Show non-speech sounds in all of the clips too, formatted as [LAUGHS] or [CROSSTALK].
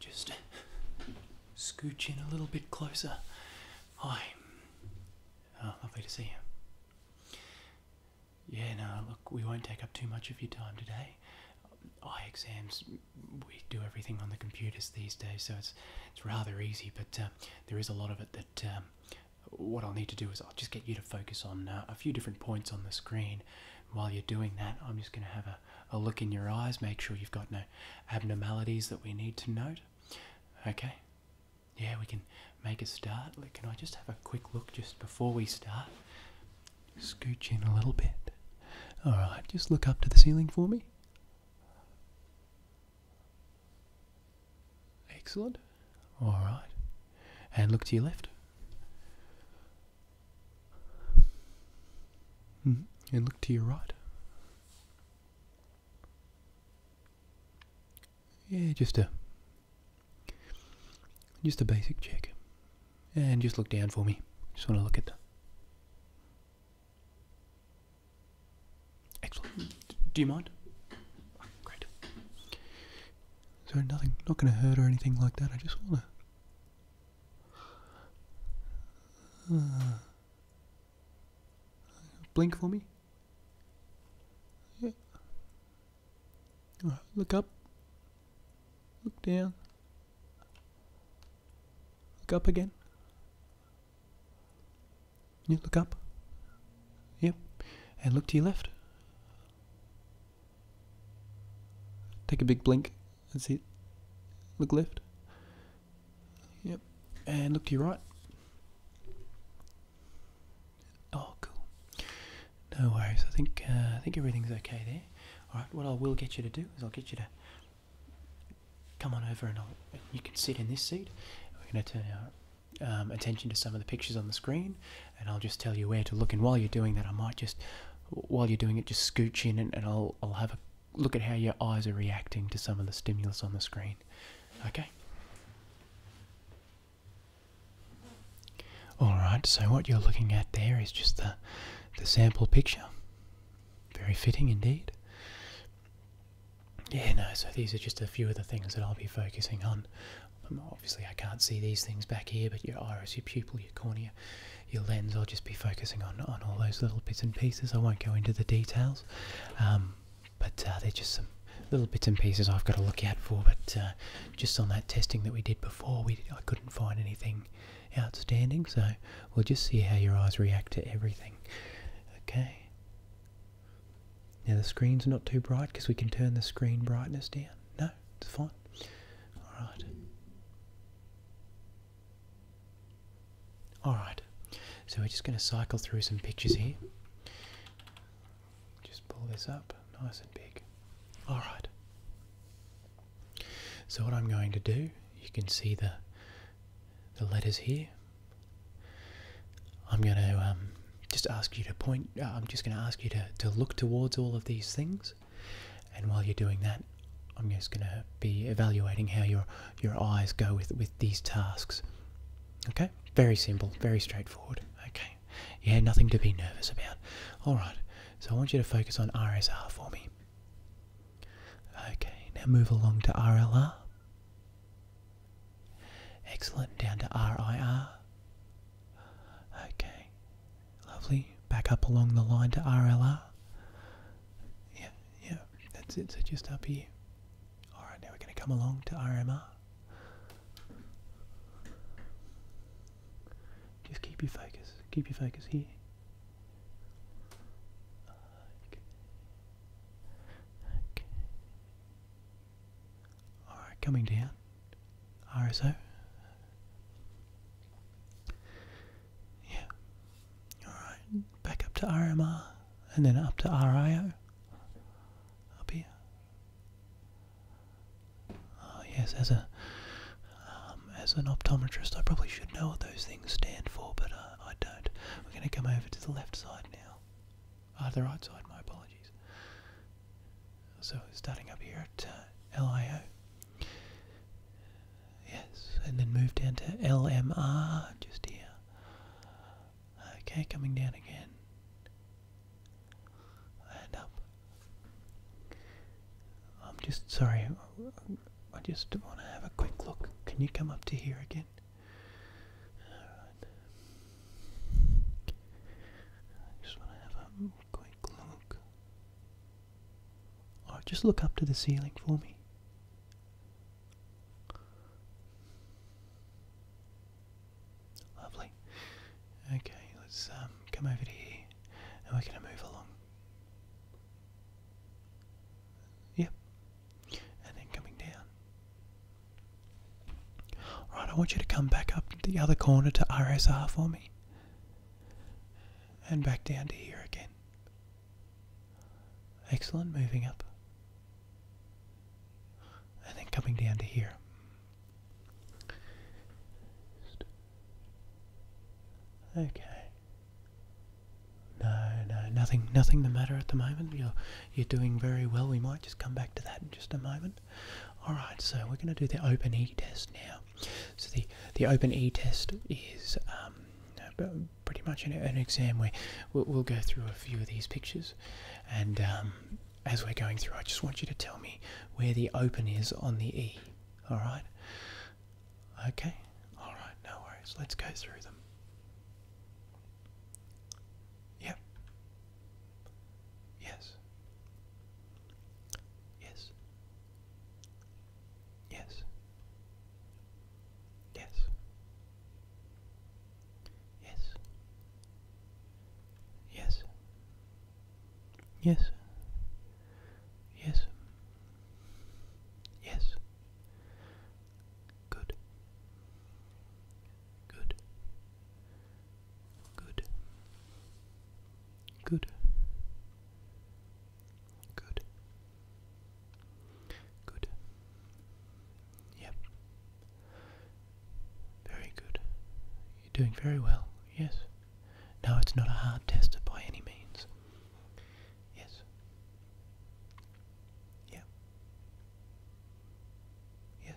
Just scooch in a little bit closer. Hi. Ah, lovely to see you. Yeah, no, look, we won't take up too much of your time today. Eye exams, we do everything on the computers these days, so it's it's rather easy. But uh, there is a lot of it that um, what I'll need to do is I'll just get you to focus on uh, a few different points on the screen. While you're doing that, I'm just going to have a, a look in your eyes, make sure you've got no abnormalities that we need to note. Okay. Yeah, we can make a start. Can I just have a quick look just before we start? Scooch in a little bit. Alright, just look up to the ceiling for me. Excellent. All right. And look to your left. Mm-hmm. And look to your right. Yeah, just a just a basic check. And just look down for me. Just want to look at Excellent. Do you mind? Oh, great. So nothing, not going to hurt or anything like that. I just want to uh, blink for me. Yeah. look up. Look down. Look up again. You look up. Yep. And look to your left. Take a big blink. That's it. Look left. Yep. And look to your right. Oh, cool. No worries. I think uh, I think everything's okay there. All right. What I will get you to do is I'll get you to come on over and you can sit in this seat. We're going to turn our um, attention to some of the pictures on the screen, and I'll just tell you where to look. And while you're doing that, I might just, while you're doing it, just scooch in and, and I'll, I'll have a look at how your eyes are reacting to some of the stimulus on the screen. Okay? Alright, so what you're looking at there is just the, the sample picture. Very fitting indeed. Yeah, no, so these are just a few of the things that I'll be focusing on. Um, obviously, I can't see these things back here, but your iris, your pupil, your cornea, your lens, I'll just be focusing on, on all those little bits and pieces. I won't go into the details, um, but uh, they're just some little bits and pieces I've got to look out for. But uh, just on that testing that we did before, we I couldn't find anything outstanding, so we'll just see how your eyes react to everything. Okay. Now the screen's not too bright because we can turn the screen brightness down. No, it's fine. Alright. Alright. So we're just going to cycle through some pictures here. Just pull this up nice and big. Alright. So what I'm going to do, you can see the the letters here. I'm going to um, just ask you to point, uh, I'm just going to ask you to, to look towards all of these things. And while you're doing that, I'm just going to be evaluating how your, your eyes go with, with these tasks. Okay? Very simple, very straightforward. Okay. Yeah, nothing to be nervous about. Alright, so I want you to focus on RSR for me. Okay, now move along to RLR. Excellent, down to RIR. Okay, lovely. Back up along the line to RLR. Yeah, yeah, that's it. So just up here. Alright, now we're going to come along to RMR. Just keep your focus, keep your focus here. Alright, coming down. RSO. Yeah. Alright, back up to RMR and then up to RIO. Up here. Oh, yes, as a um, as an optometrist, I probably should know what those things stand for, but uh, I don't. We're going to come over to the left side now. Ah, the right side, my apologies. So starting up here at uh, LIO. Yes, and then move down to LMR just here. Okay, coming down again. And up. I'm just sorry, I just want to have a quick look. Can you come up to here again? I just want to have a quick look. Alright, just look up to the ceiling for me. Lovely. Okay, let's um, come over here and we're going to move along. Yep. And then coming down. Alright, I want you to come back up the other corner to RSR for me. And back down to here again. Excellent, moving up. And then coming down to here. Okay. No, no, nothing, nothing the matter at the moment. You're, you're doing very well. We might just come back to that in just a moment. All right, so we're going to do the Open E test now. So the the Open E test is um, pretty much an, exam where we'll, go through a few of these pictures, and um, as we're going through, I just want you to tell me where the open is on the E. All right. Okay, alright, no worries. Let's go through them. Yep. Yes. Yes. Yes. Yes. Yes. Yes. Yes. Yes. Good. Good. Good. Good. Good. Good. Yep. Very good. You're doing very well. Yes. No, it's not a hard tester by any means. Yes. Yeah. Yes.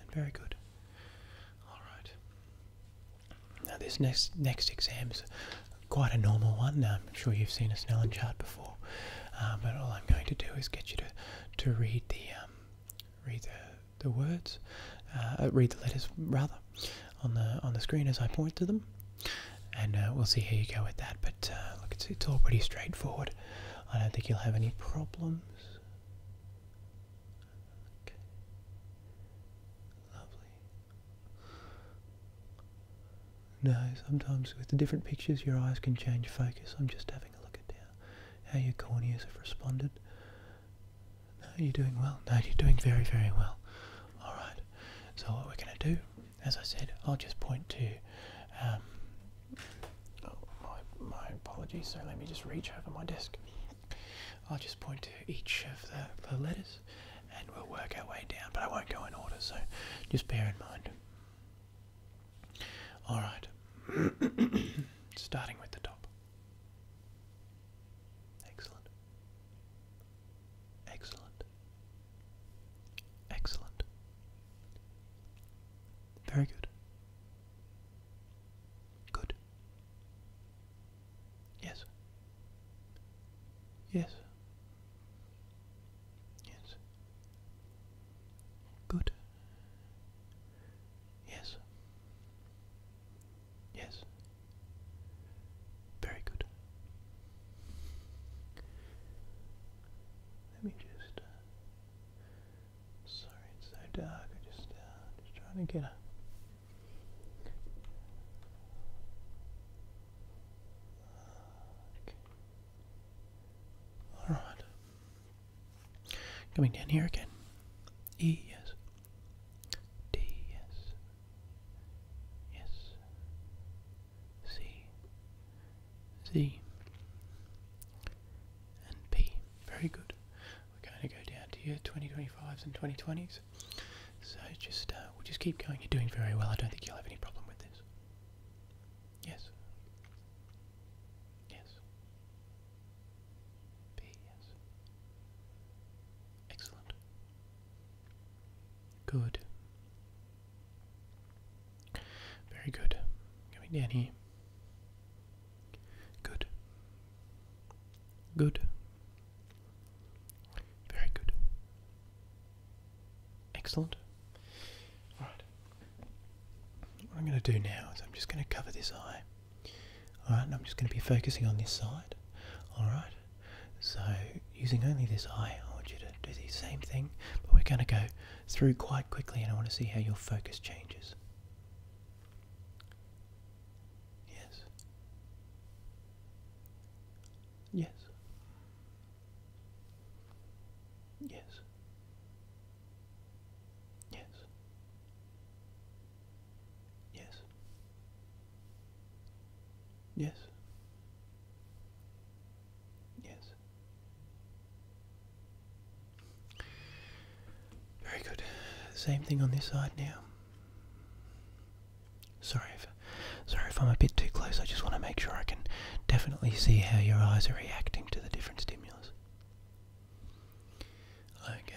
And very good. All right. Now this next next exam is quite a normal one. I'm sure you've seen a Snellen chart before, uh, but all I'm going to do is get you to to read the um, read the the words, uh, uh, read the letters rather, on the on the screen as I point to them, and uh, we'll see how you go with that. But uh, look, it's it's all pretty straightforward. I don't think you'll have any problems. Lovely. No, sometimes with the different pictures your eyes can change focus. I'm just having a look at how your corneas have responded. No, you're doing well. No, you're doing very, very well. Alright, so what we're going to do, as I said, I'll just point to. Um, oh, my, apologies, so let me just reach over my desk. I'll just point to each of the letters and we'll work our way down, but I won't go in order, so just bear in mind. Alright, [COUGHS] starting with the top. Excellent. Excellent. Excellent. Very good. Good. Yes. Yes. Yes. Good. Yes. Yes. Very good. Let me just. Uh, sorry, it's so dark. I just, uh, just trying to get a. All right. Coming down here again. E yes. D, yes. Yes. C, Z, and P. Very good. We're going to go down to your 2025s and 2020s. So just uh, we'll just keep going. You're doing very well. I don't think you'll have any problem with this. Yes. Yes. Yes. Excellent. Good. Very good. Coming down here. Good. Good. Very good. Excellent. Alright. What I'm going to do now is I'm just going to cover this eye. Alright, I'm just going to be focusing on this side. Alright, so using only this eye, I want you to do the same thing, but we're going to go through quite quickly and I want to see how your focus changes. Yes. Yes. Yes. Yes. Yes. Yes. Yes. Very good. Same thing on this side now. Sorry if sorry if I'm a bit too close. I just want to make sure I can definitely see how your eyes are reacting to the different stimulus. Okay.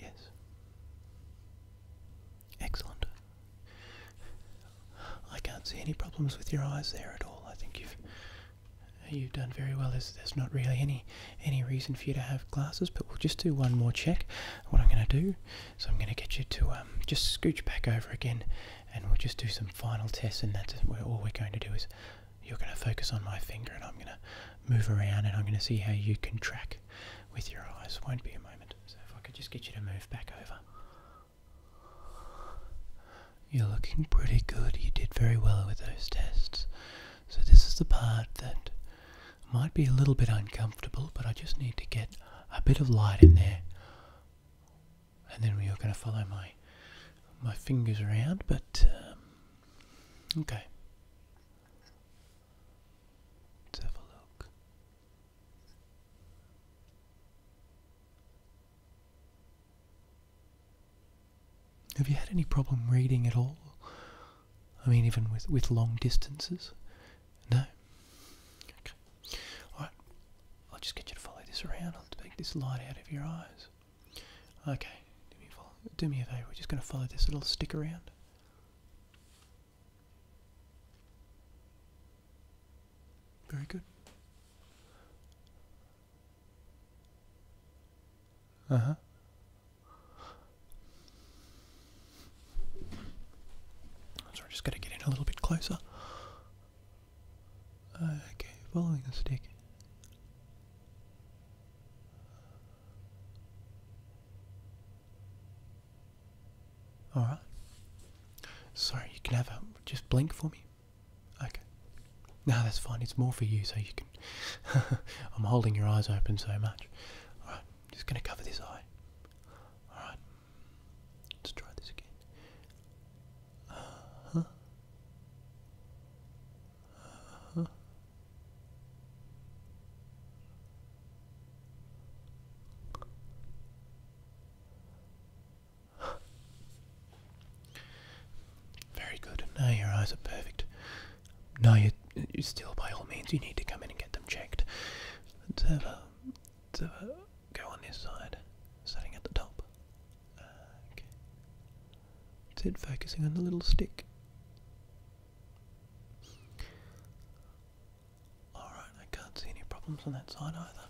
Yes. Excellent. I can't see any problems with your eyes there at all. I think you've you've done very well. There's, not really any any reason for you to have glasses, but we'll just do one more check. What I'm going to do is I'm going to get you to um, just scooch back over again, and we'll just do some final tests, and that's all we're going to do is you're going to focus on my finger and I'm going to move around and I'm going to see how you can track with your eyes. Won't be a moment. So if I could just get you to move back over. You're looking pretty good. You did very well with those tests. So this is the part that might be a little bit uncomfortable, but I just need to get a bit of light in there. And then we are going to follow my my fingers around, but um, Okay. Let's have a look. Have you had any problem reading at all? I mean, even with, with long distances? No? Okay. Alright, I'll just get you to follow this around. I'll take this light out of your eyes. Okay, do me, a favor, we're just going to follow this little stick around. Very good. Uh huh. So I'm just going to get in a little bit closer. Okay, following the stick. All right. Sorry, you can have a just blink for me. Okay. No, that's fine. It's more for you, so you can. [LAUGHS] I'm holding your eyes open so much. All right, I'm just gonna cover this eye. All right. Let's try this again. Uh-huh uh Very good. Now your eyes are perfect. No, you, you still, by all means, you need to come in and get them checked. Let's have a, let's have go on this side, starting at the top. okay. It's it focusing on the little stick. Alright, I can't see any problems on that side either.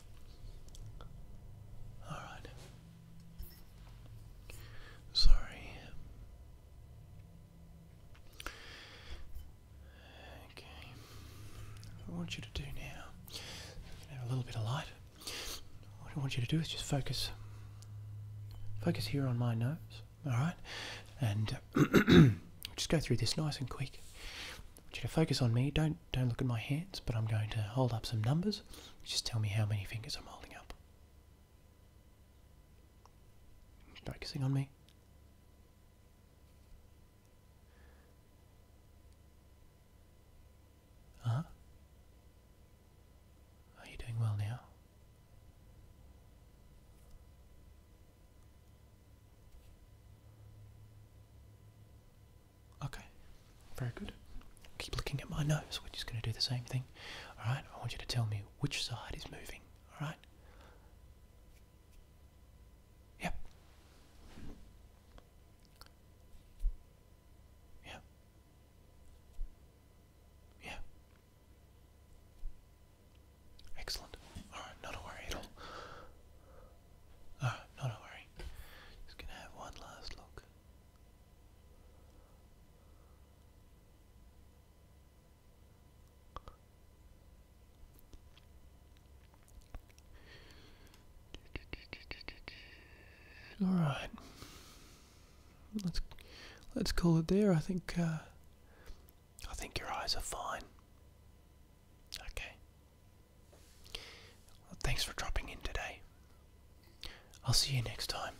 Alright. Sorry. Okay. I want you to do now, have a little bit of light. What I want you to do is just focus. Focus here on my nose, all right? And uh, [CLEARS THROAT] just go through this nice and quick. I want you to focus on me. Don't don't look at my hands, but I'm going to hold up some numbers. Just tell me how many fingers I'm holding up. Focusing on me. Huh? Are you doing well now? Okay, very good. Keep looking at my nose. We're just going to do the same thing. Alright, I want you to tell me which side is moving. Alright? Yep. Yeah. Yeah. Excellent. Alright, not a worry at all. Alright, not a worry. Just gonna have one last look. All right. Let's let's call it there. I think uh, I think your eyes are fine. Okay. thanks for dropping in today. I'll see you next time.